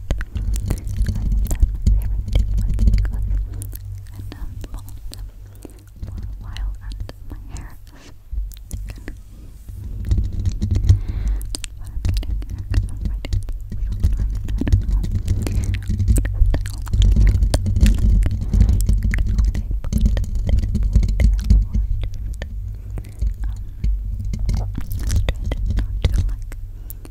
for a while and my hair is thicker. But I'm getting here because I'm writing sometimes, I don't know. But you can always put it in a ponytail or just, um, straight, not too like,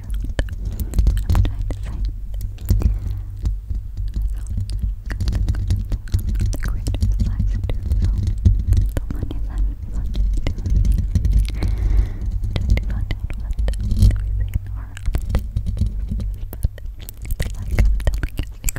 I'm trying to find it. The greater the lies do, so the money that we want to do. Trying out what we say in our but like I'm telling you,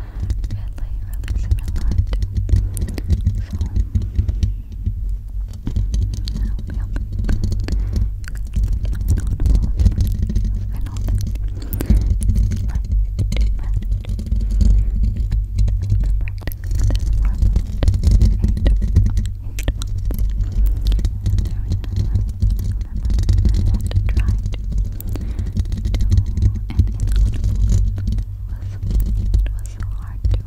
really, really similar to so I hope you help I know that like to manage I've been practicing this for about 8, eight months and there we go I want to try to do an inaudible. It was, it was so hard to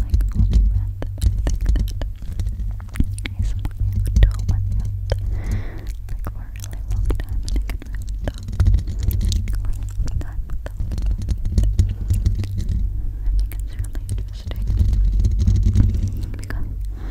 like hold your I think that ASMR could do one like for a really long time and I really long time I think it's really interesting because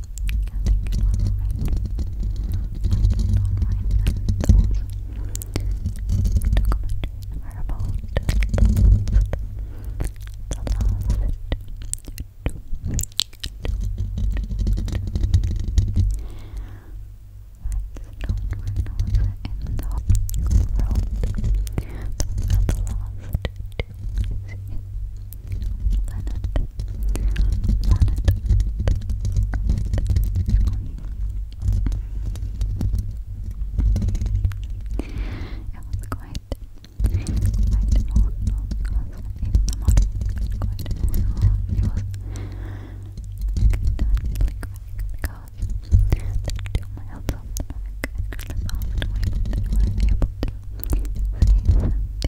I think it was red. I did not write that those documentaries were about the last the last two, two, two, two. Redstone when I was in the world those were the last two seasons planet, planet, it was quite, quite emotional because even the model was quite emotional it was like, because they do my health up back and I found a way to were able to save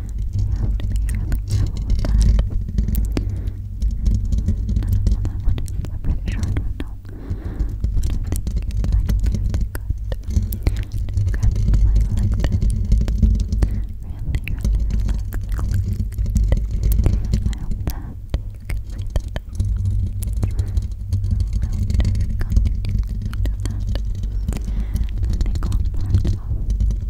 You have to be really careful with that. I don't know that one. I'm pretty sure I don't know. But I think it's actually really good to grab the flag like this. Really, really relax. I hope that you can see that. I hope that you continue to do that. I think one part of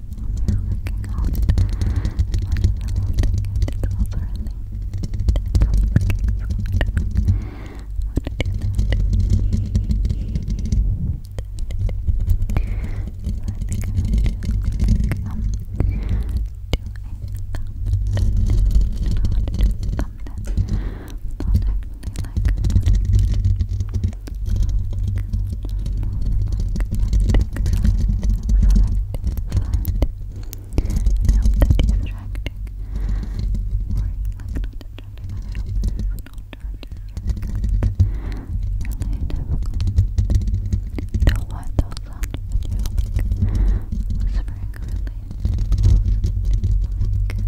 you're working out as much as I want to get it all thoroughly. Don't forget food. I want to do that. I think I'm going to click, um, do a I know how to do a thumbnail. Not actually like a thumbnail. Like, like, I hope that distracting. Or, like, not distracting, but I hope this is not because really difficult to watch those sound videos, like, whispering really close to the mic. I don't know how much is that like. I don't know how much is that like.